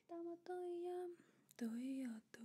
Estamos tuyo, tuyo, tu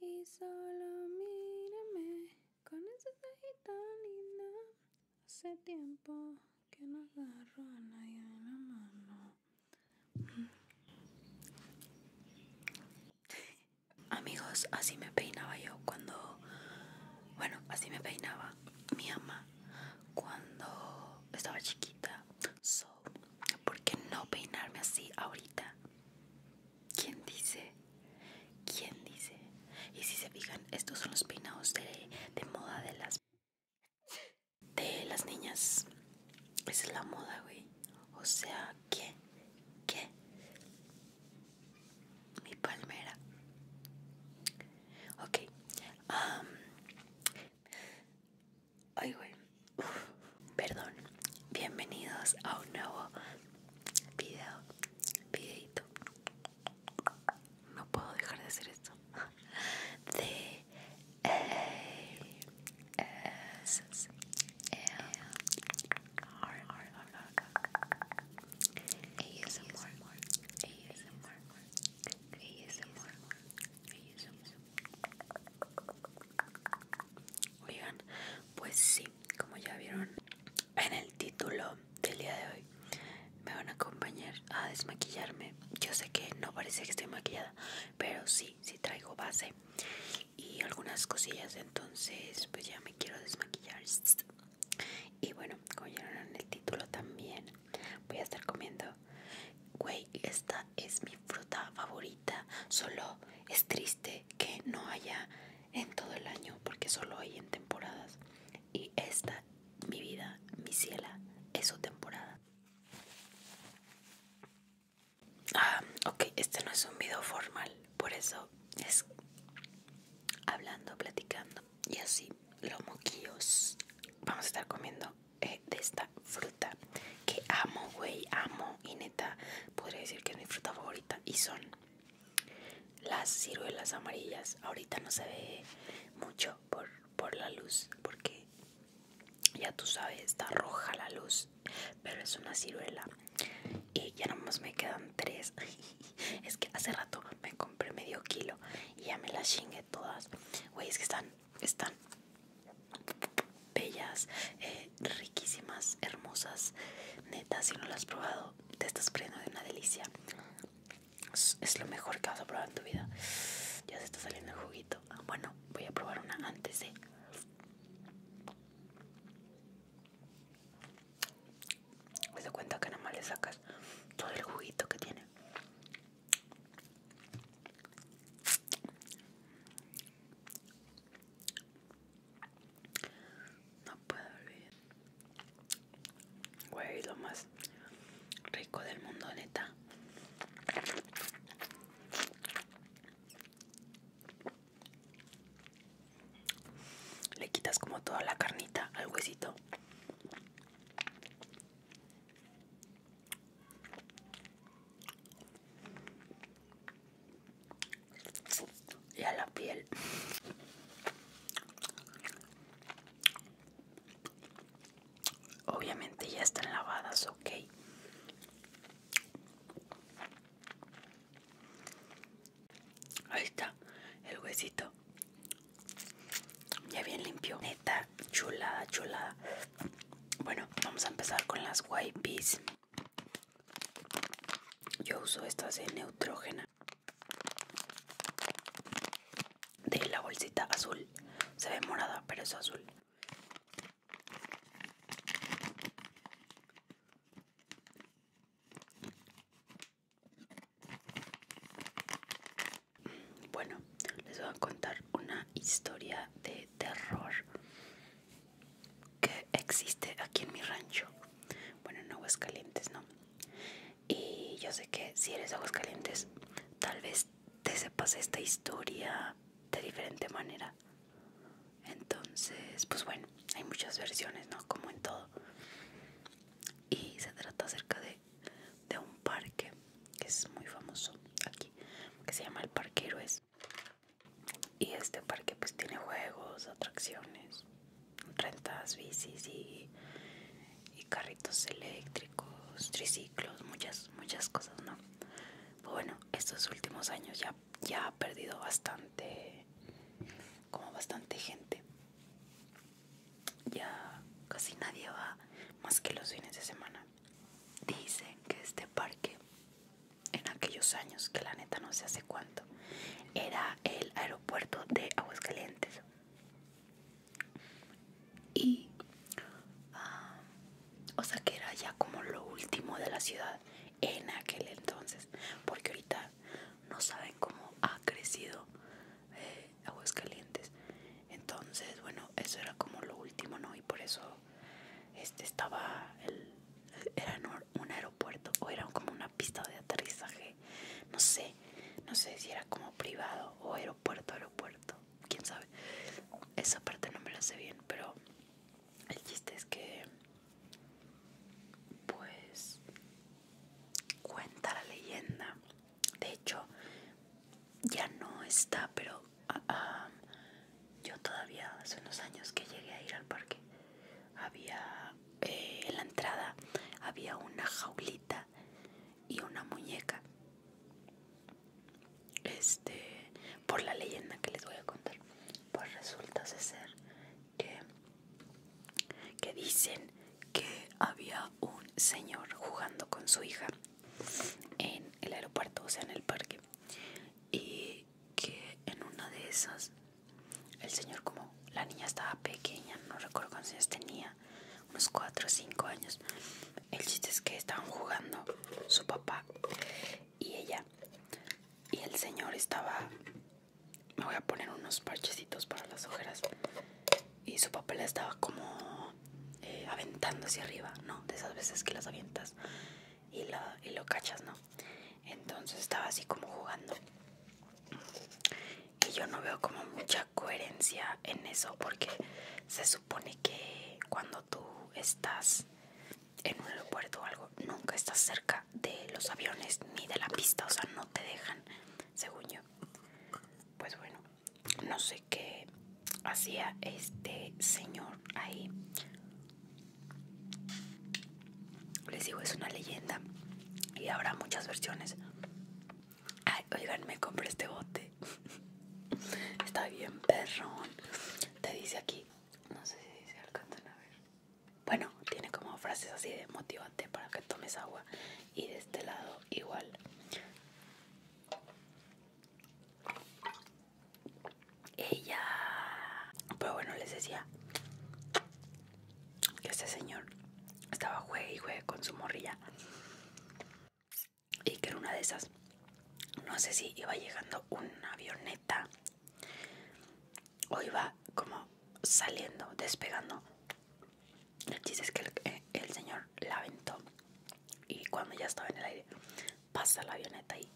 Y solo mírame con esa cajita linda. Hace tiempo que no agarro a nadie en la mano. Amigos, así me peinaba yo cuando. Bueno, así me peinaba mi mamá cuando estaba chiquita. So, ¿por qué no peinarme así ahorita? ¿Quién dice? ¿Quién dice? Y si se fijan, estos son los peinados de, moda de las de las niñas. Esa es la moda, güey. O sea, ¿qué? ¿Qué? mi palmera. Ok. Um, ay, güey. perdón. Bienvenidos a un nuevo video. Videito. No puedo dejar de hacer esto. De... Eh, eh ASMR, Oigan, pues sí, como ya vieron en el título del día de hoy, me van a acompañar a desmaquillarme. Yo sé que no parece que estoy maquillada, pero sí, sí traigo base y algunas cosillas. Entonces, pues ya me quiero desmaquillar. Y bueno, como ya vieron en el título también, voy a estar comiendo. Güey, esta es mi fruta favorita. Solo es triste que no haya en todo el año, porque solo hay en temporadas. Y esta, mi vida, mi ciela, es su temporada. Ah, ok, este no es un video formal, por eso es hablando, platicando y así los moquillos vamos a estar comiendo eh, de esta fruta que amo güey amo y neta podría decir que es mi fruta favorita y son las ciruelas amarillas ahorita no se ve mucho por, por la luz porque ya tú sabes está roja la luz pero es una ciruela y ya nomás me quedan tres es que hace rato me compré medio kilo y ya me las chingué todas. Güey, es que están, están bellas, eh, riquísimas, hermosas. Neta, si no las has probado, te estás prendiendo de una delicia. es lo mejor que vas a probar en tu vida. Ya se está saliendo el juguito. Ah, bueno, voy a probar una antes de. Me doy cuenta que nada más le sacas todo el juguito que tiene. No puedo olvidar. Güey, lo más rico del mundo, neta. Le quitas como toda la carnita al huesito. Y a la piel. Obviamente ya están lavadas, ok. Ahí está el huesito. Ya bien limpio. Neta, chulada, chulada. Bueno, vamos a empezar con las wipes. Yo uso estas de neutrógena. De la bolsita azul. Se ve morada, pero es azul. Bueno, les voy a contar una historia de terror que existe aquí en mi rancho. Bueno, en Calientes, ¿no? Y yo sé que si eres aguas calientes, tal vez te sepas esta historia de diferente manera. Entonces, pues bueno, hay muchas versiones, ¿no? Como en todo. Y se trata acerca de, un parque que es muy famoso aquí, que se llama el Parque Héroes. Y este parque pues tiene juegos, atracciones, rentas, bicis y, y carritos eléctricos, triciclos, muchas, muchas cosas, ¿no? Pues bueno, estos últimos años ya ya, ha perdido bastante, como bastante gente. Ya casi nadie va más que los fines de semana. Dicen que este parque, en aquellos años, que la neta no sé hace cuánto, era el aeropuerto de Aguascalientes. Y, ah, o sea que era ya como lo último de la ciudad en aquel entonces, porque ahorita no saben cómo ha crecido eh, aguas calientes Entonces, bueno, eso era como lo último, ¿no? Y por eso este estaba el era un aeropuerto o era como una pista de aterrizaje, no sé, no sé si era como privado o aeropuerto, aeropuerto, quién sabe. Esa parte no me la sé bien, pero el chiste es que pues cuenta la leyenda. De hecho, ya no está, pero ah, ah, yo todavía hace unos años que llegué a ir al parque. Había eh, en la entrada había una jaulita y una muñeca este por la leyenda que les voy a contar pues resulta ser que que dicen que había un señor jugando con su hija en el aeropuerto o sea en el parque y que en una de esas el señor como la niña estaba pequeña no recuerdo cuántos años tenía unos 4 o 5 años el chiste es que estaban jugando su papá y ella. Y el señor estaba... Me voy a poner unos parchecitos para las ojeras. Y su papel estaba como eh, aventando hacia arriba, ¿no? De esas veces que las avientas y, y lo cachas, ¿no? Entonces estaba así como jugando. Y yo no veo como mucha coherencia en eso porque se supone que cuando tú estás en un aeropuerto o algo, nunca estás cerca de los aviones ni de la pista, o sea, no te dejan, según yo. Pues bueno, no sé qué hacía este señor ahí. Les digo, es una leyenda y habrá muchas versiones. Ay, oigan, me compré este bote. Está bien perrón te dice aquí, no sé si se alcanzan a ver. Bueno, tiene como frases así de motivante para que tomes agua. Y de este lado igual. Ella. Pero bueno, les decía que este señor estaba juegue y juegue con su morrilla y que en una de esas no sé si iba llegando una avioneta o iba como saliendo, despegando. El chiste es que el, eh, el señor la aventó y cuando ya estaba en el aire pasa la avioneta y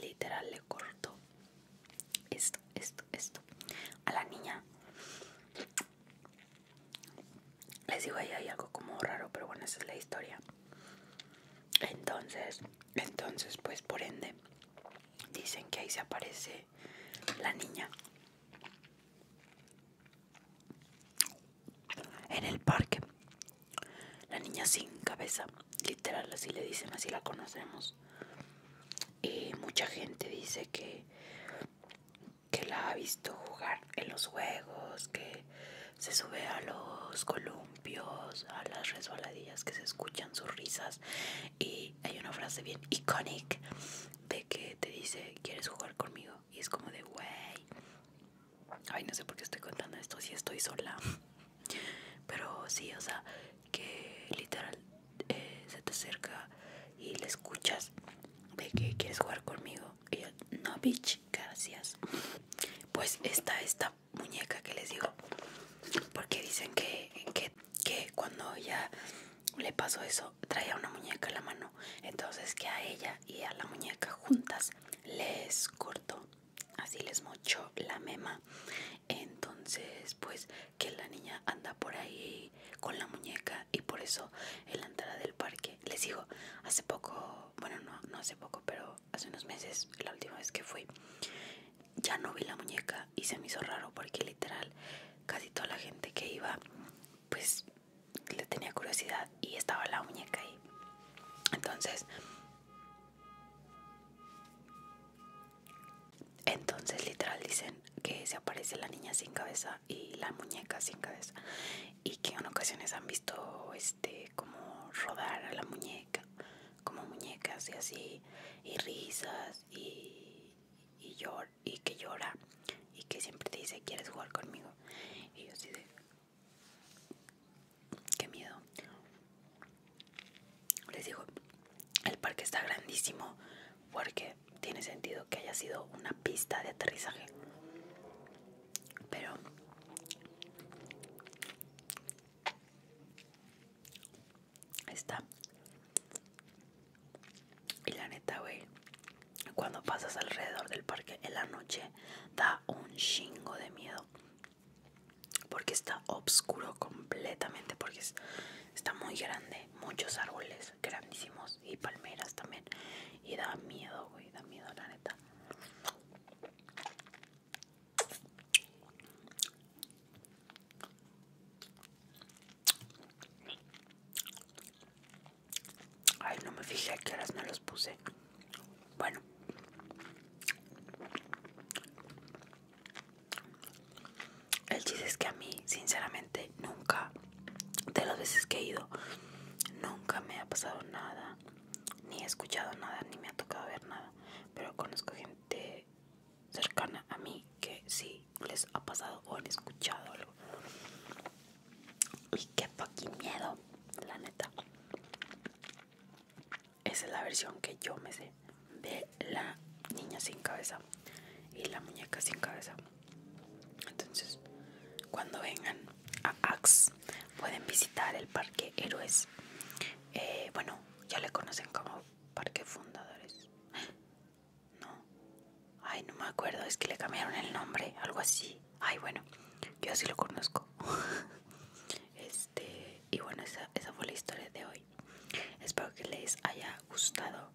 literal le cortó esto, esto, esto a la niña les digo, ahí hay algo como raro, pero bueno, esa es la historia. Entonces, entonces, pues por ende, dicen que ahí se aparece la niña. En el parque. La niña sin cabeza. Literal, así le dicen, así la conocemos. Y mucha gente dice que que la ha visto jugar en los juegos, que se sube a los columpios, a las resbaladillas, que se escuchan sus risas. Y hay una frase bien icónica de que te dice, ¿quieres jugar conmigo? Y es como de, wey. Ay, no sé por qué estoy contando esto si estoy sola. Pero sí, o sea, que literal eh, se te acerca y le escuchas de que quieres jugar conmigo. Y no, bitch, gracias. Pues está esta muñeca que les digo. Porque dicen que, cuando ella le pasó eso, traía una muñeca en la mano. Entonces que a ella y a la muñeca juntas les cortó. Así les mochó la mema. Entonces, pues que la niña anda por ahí con la muñeca y por eso en la entrada del parque. Les digo, hace poco, bueno, no, no hace poco, pero hace unos meses, la última vez que fui, ya no vi la muñeca y se me hizo raro porque literal casi toda la gente que iba, pues le tenía curiosidad y estaba la muñeca ahí. Entonces, entonces literal dicen que se aparece la niña sin cabeza y la muñeca sin cabeza y que en ocasiones han visto este como rodar a la muñeca como muñecas y así y risas y, que llora y que siempre te dice quieres jugar conmigo y yo así de qué miedo les digo el parque está grandísimo porque tiene sentido que haya sido una pista de aterrizaje. Pero está. Y la neta, güey, cuando pasas alrededor del parque en la noche da un chingo de miedo. Porque está oscuro completamente, porque está muy grande, muchos árboles. Pues, grandísimos y palmeras también. Y da miedo, güey, da miedo, la neta. Ay, no me fijé que las no los puse. Bueno el chiste es que a mí, sinceramente, nunca, de las veces que he ido, nunca me ha pasado nada, ni he escuchado nada, ni me ha tocado ver nada. Pero conozco gente cercana a mí que sí les ha pasado o han escuchado algo. Y qué fucking miedo, la neta. Esa es la versión que yo me sé de la niña sin cabeza y la muñeca sin cabeza. Entonces, cuando vengan a Axe, pueden visitar el Parque Héroes. Eh, bueno, ya le conocen como Parque Fundadores. No, ay, no me acuerdo, es que le cambiaron el nombre, algo así. Ay, bueno, yo así lo conozco. Este, y bueno, esa, esa fue la historia de hoy. Espero que les haya gustado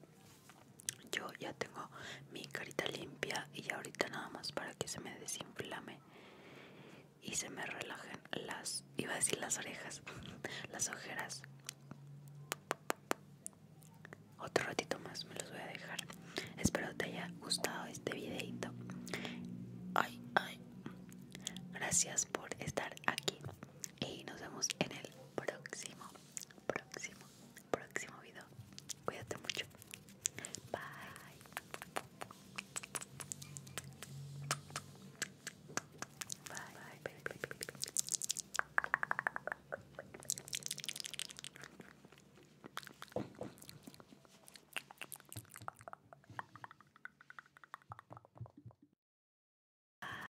yo ya tengo mi carita limpia y ahorita nada más para que se me desinflame y se me relajen las iba a decir las orejas las ojeras otro ratito más me los voy a dejar espero te haya gustado este videito ay gracias por estar aquí y nos vemos en el próximo próximo, próximo video. Cuídate mucho. Bye.